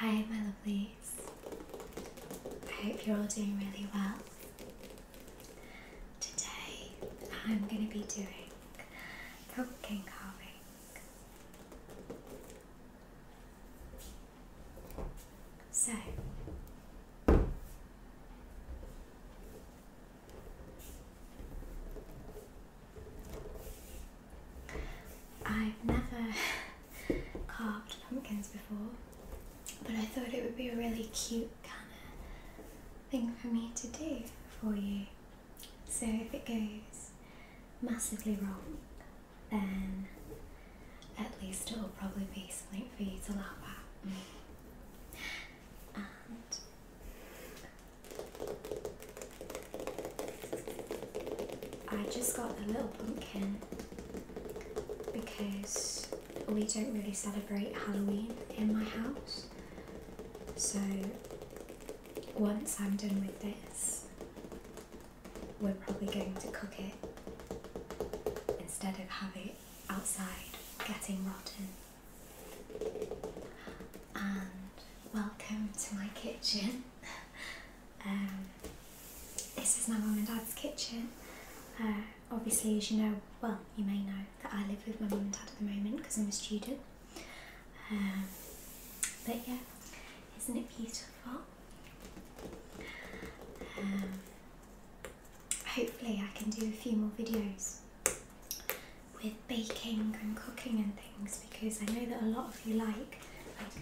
Hi, my lovelies. I hope you're all doing really well. Today, I'm going to be doing cooking coffee. So, I've never carved pumpkins before, but I thought it would be a really cute kind of thing for me to do for you. So if it goes massively wrong, then at least it'll probably be something for you to laugh at. and I just got a little pumpkin because we don't really celebrate Halloween in my house. So once I'm done with this, we're probably going to cook it instead of have it outside getting rotten. And welcome to my kitchen. um, this is my mum and dad's kitchen. Uh, obviously, as you know, well, you may know that I live with my mum and dad at the moment because I'm a student. Um, but yeah, isn't it beautiful? Um, hopefully I can do a few more videos with baking and cooking and things because I know that a lot of you like like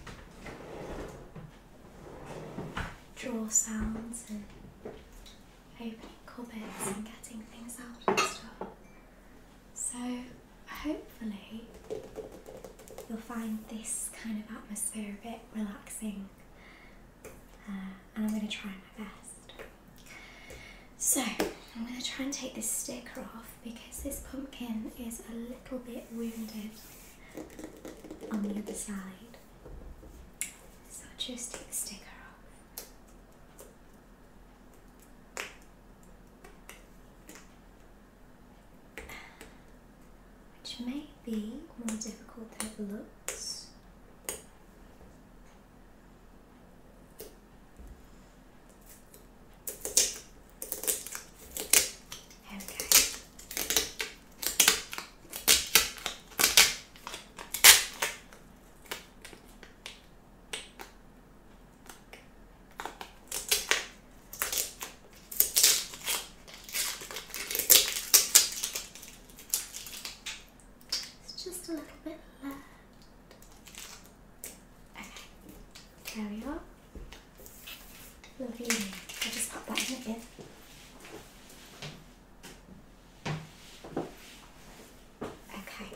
draw sounds and opening cupboards and getting things out and stuff. So hopefully you'll find this kind of atmosphere a bit relaxing uh, and I'm going to try my best. So I'm going to try and take this sticker off because this pumpkin is a little bit wounded on the other side. So just take the sticker off which may be more difficult than it looks. There it's just a little bit left. Okay, there we are. Lovely. i just pop that in again. Okay,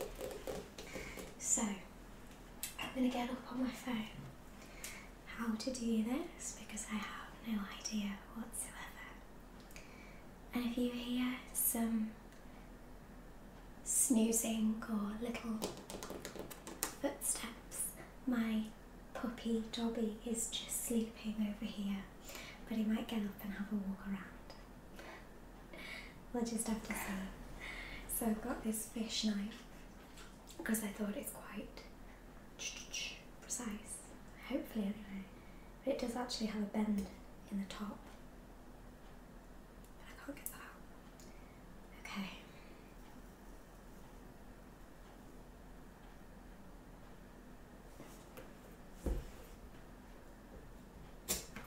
so I'm going to get up on my phone how to do this because I have no idea whatsoever. And if you hear some snoozing or little footsteps, my puppy Dobby is just sleeping over here, but he might get up and have a walk around we'll just have to see. So I've got this fish knife because I thought it's quite precise, hopefully anyway. But it does actually have a bend in the top. I can't get that Okay.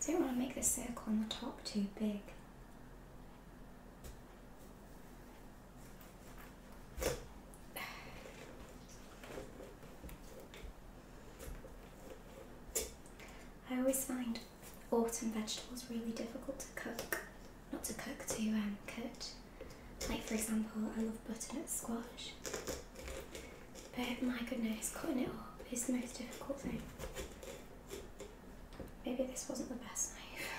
I don't want to make the circle on the top too big. I always find autumn vegetables really difficult to cook, not to cook, to um, cut. Like for example, I love butternut squash, but my goodness, cutting it up is the most difficult thing. Maybe this wasn't the best knife.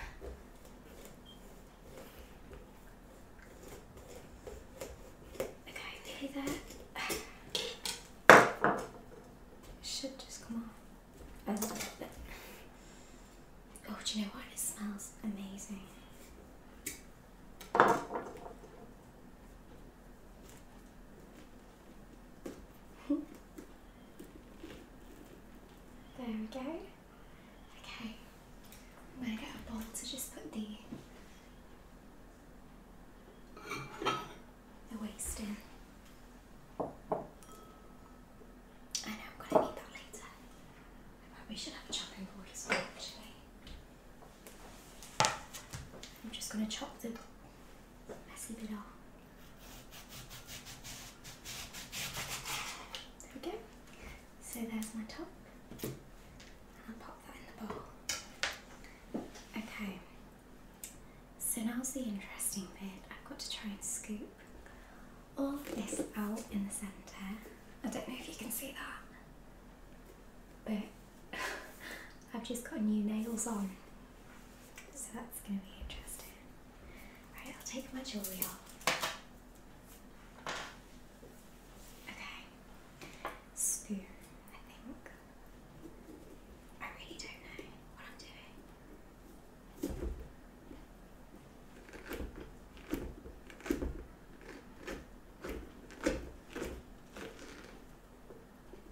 Okay, nearly there. Should just come off Oh, do you know what? It smells amazing there we go. Okay, I'm gonna get a bowl to just put the the waste in. I know I'm gonna need that later. I should have a chopping board as well actually. I'm just gonna chop the there we go. So there's my top. I'll pop that in the bowl. Okay, so now's the interesting bit. I've got to try and scoop all this out in the centre. I don't know if you can see that, but I've just got new nails on. So that's going to be interesting. Alright, I'll take my jewelry Okay. Spear, I think. I really don't know what I'm doing.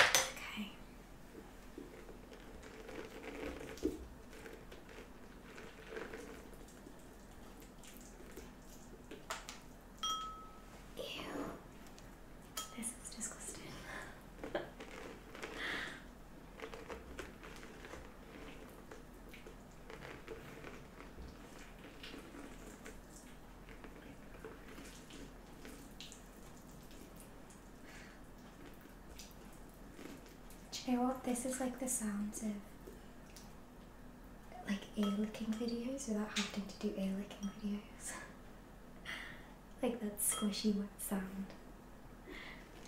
Okay. Ew. This is disgusting. you know what? This is like the sounds of like ear licking videos without having to do ear licking videos. like that squishy wet sound.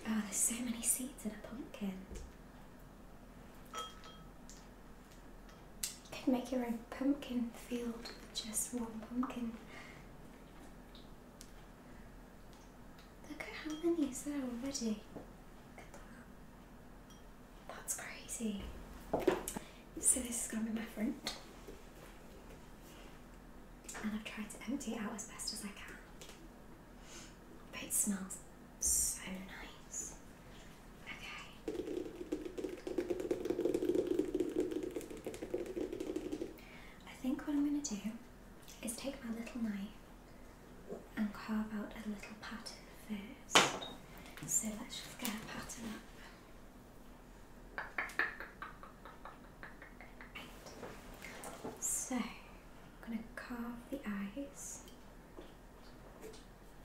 Oh, there's so many seeds in a pumpkin. You could make your own pumpkin field with just one pumpkin. Look at how many is there already. Look at that. That's crazy. So this is going to be my friend. And I've tried to empty it out as best as I can. But it smells so nice. Okay. I think what I'm going to do is take my little knife and carve out a little pattern first. So let's just get a pattern up. So I'm going to carve the eyes.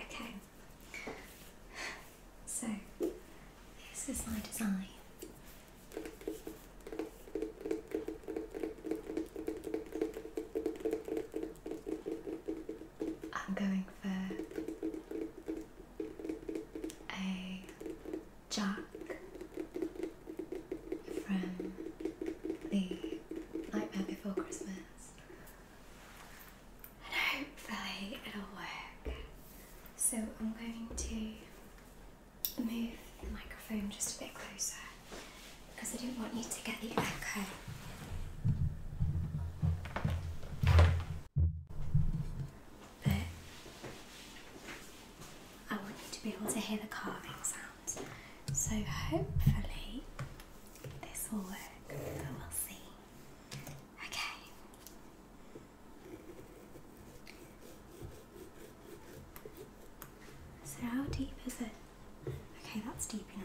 Okay, so this is my design. I'm going for a Jack from the Nightmare Before Christmas, and hopefully it'll work. So I'm going to move the microphone just a bit closer because I don't want you to get the echo. But I want you to be able to hear the carving sounds. So hopefully this will work, but we'll see. Okay. So, how deep is it? Okay, that's deep enough.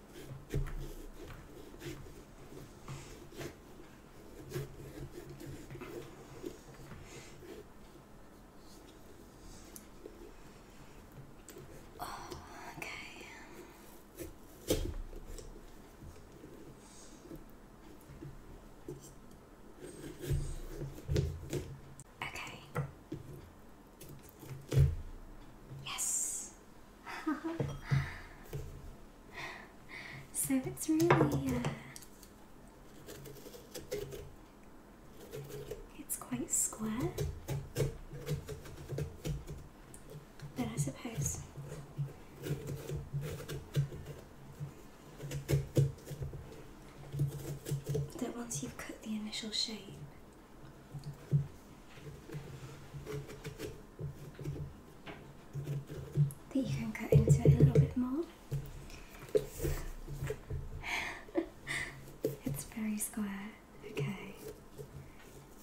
Oh, okay. Okay. Yes. so it's really, uh, it's quite square. But I suppose that once you've cut the initial shape, that you can cut into it a little bit more. it's very square. Okay.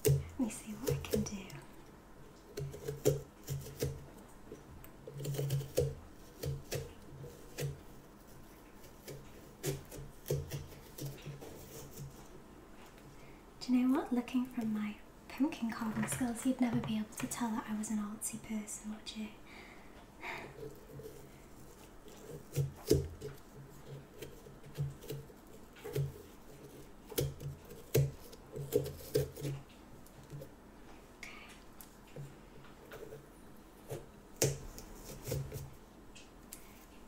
Let me see what I can do. Do you know what? Looking from my pumpkin carving skills, you'd never be able to tell that I was an artsy person, would you?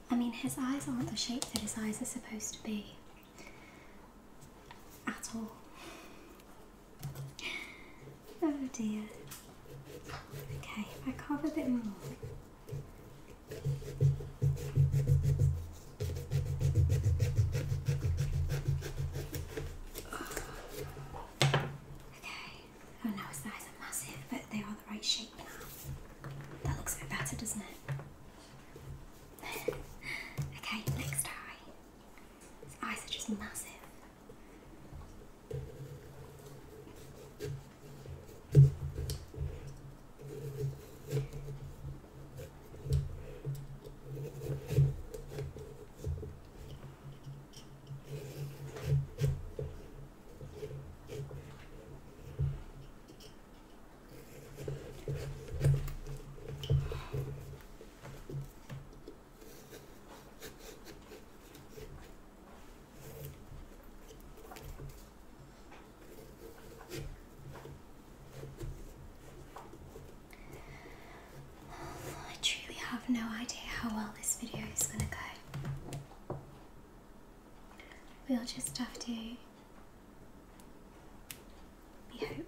I mean, his eyes aren't the shape that his eyes are supposed to be at all. Oh dear. Okay, I carve a bit more. Okay. Oh no, his thighs are massive, but they are the right shape now. That looks a bit better, doesn't it? okay, next eye. His eyes are just massive. I truly have no idea how well this video is going to go. We'll just have to be hopeful.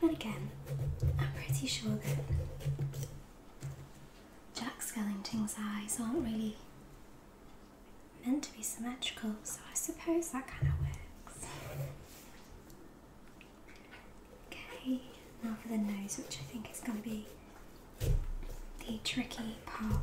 But again, I'm pretty sure that Jack Skellington's eyes aren't really meant to be symmetrical, so I suppose that kind of works. Okay, now for the nose, which I think is going to be the tricky part.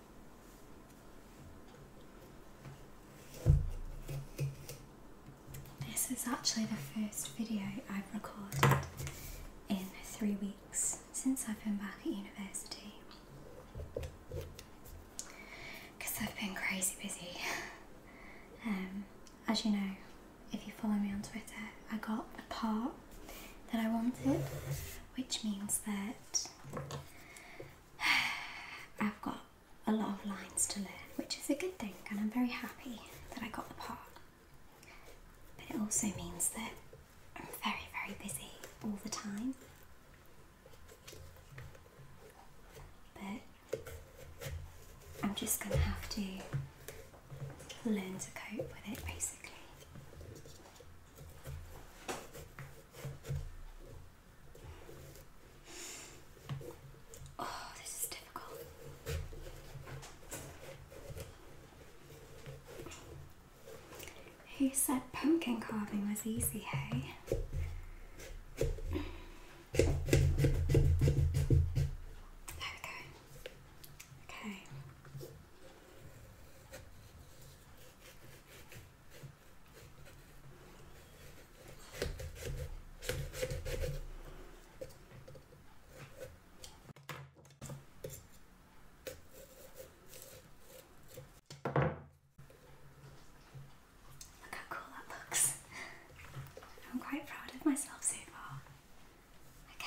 This is actually the first video I've recorded in three weeks since I've been back at university. Because I've been crazy busy. Um, as you know, if you follow me on Twitter, I got the part that I wanted, which means that I've got a lot of lines to learn, which is a good thing, and I'm very happy that I got the part. But it also means that I'm very, very busy all the time. But I'm just going to have to learn to cope with it basically. Oh, this is difficult. Who said pumpkin carving was easy, hey? There we go. Okay. Look how cool that looks. I'm quite proud of myself so far. Okay,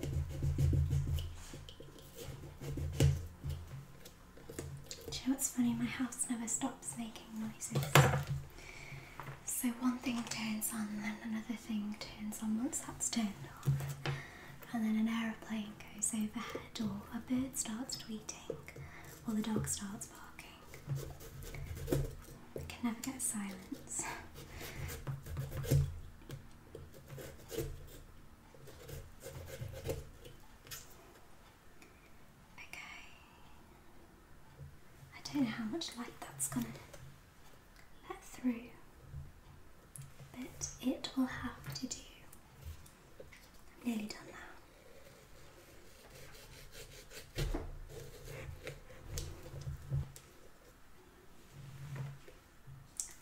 Do you know what's funny? My house never stops making noises. So one thing turns on, then another thing turns on once that's turned on, and then an aeroplane goes overhead, or a bird starts tweeting, or the dog starts barking. I can never get silence. Okay. I don't know how much light that's gonna let through, but it will have to do. I'm nearly done now.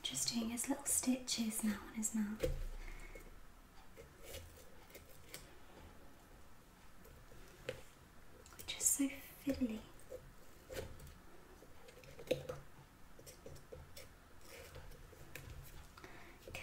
Just doing his little stitches now on his mouth. Which so fiddly. Okay.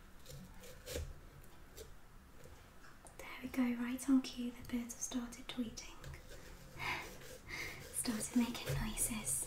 There we go, right on cue, the birds have started tweeting, started making noises.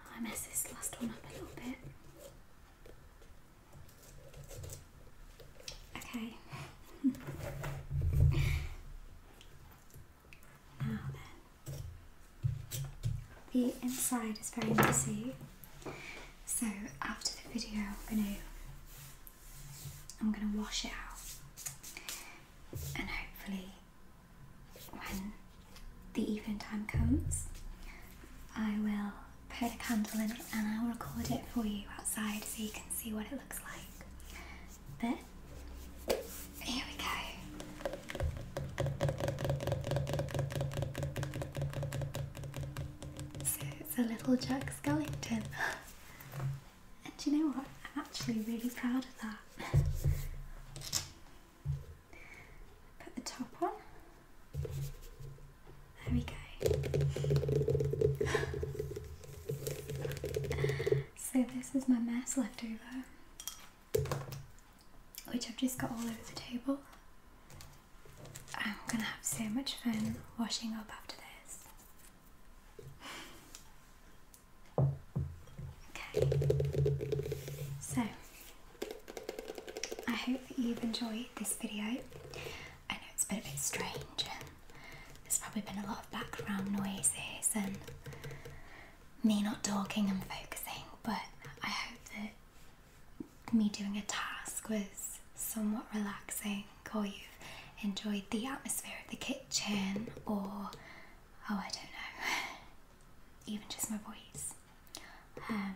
I mess this last one up a little bit. Okay. now the inside is very messy. So after the video, I'm gonna I'm gonna wash it out, and hopefully, when the evening time comes, I will put a candle in it and I'll record it for you outside so you can see what it looks like. But here we go. So it's a little Jack Skellington. and you know what? I'm actually really proud of that. Put the top on. There we go. so this is my mess left over which I've just got all over the table. I'm gonna have so much fun washing up after this. okay, so I hope that you've enjoyed this video. I know it's been a bit strange and there's probably been a lot of background noises and me not talking and focusing, but I hope that me doing a task was somewhat relaxing, or you've enjoyed the atmosphere of the kitchen, or oh, I don't know, even just my voice. Um,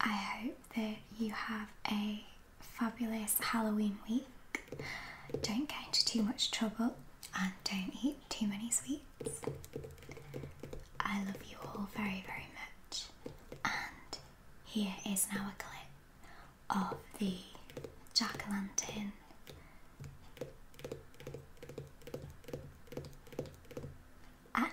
I hope that you have a fabulous Halloween week. Don't get into too much trouble and don't eat too many sweets. I love you all very, very much. And here is now a clip of the jack o' lantern. At night.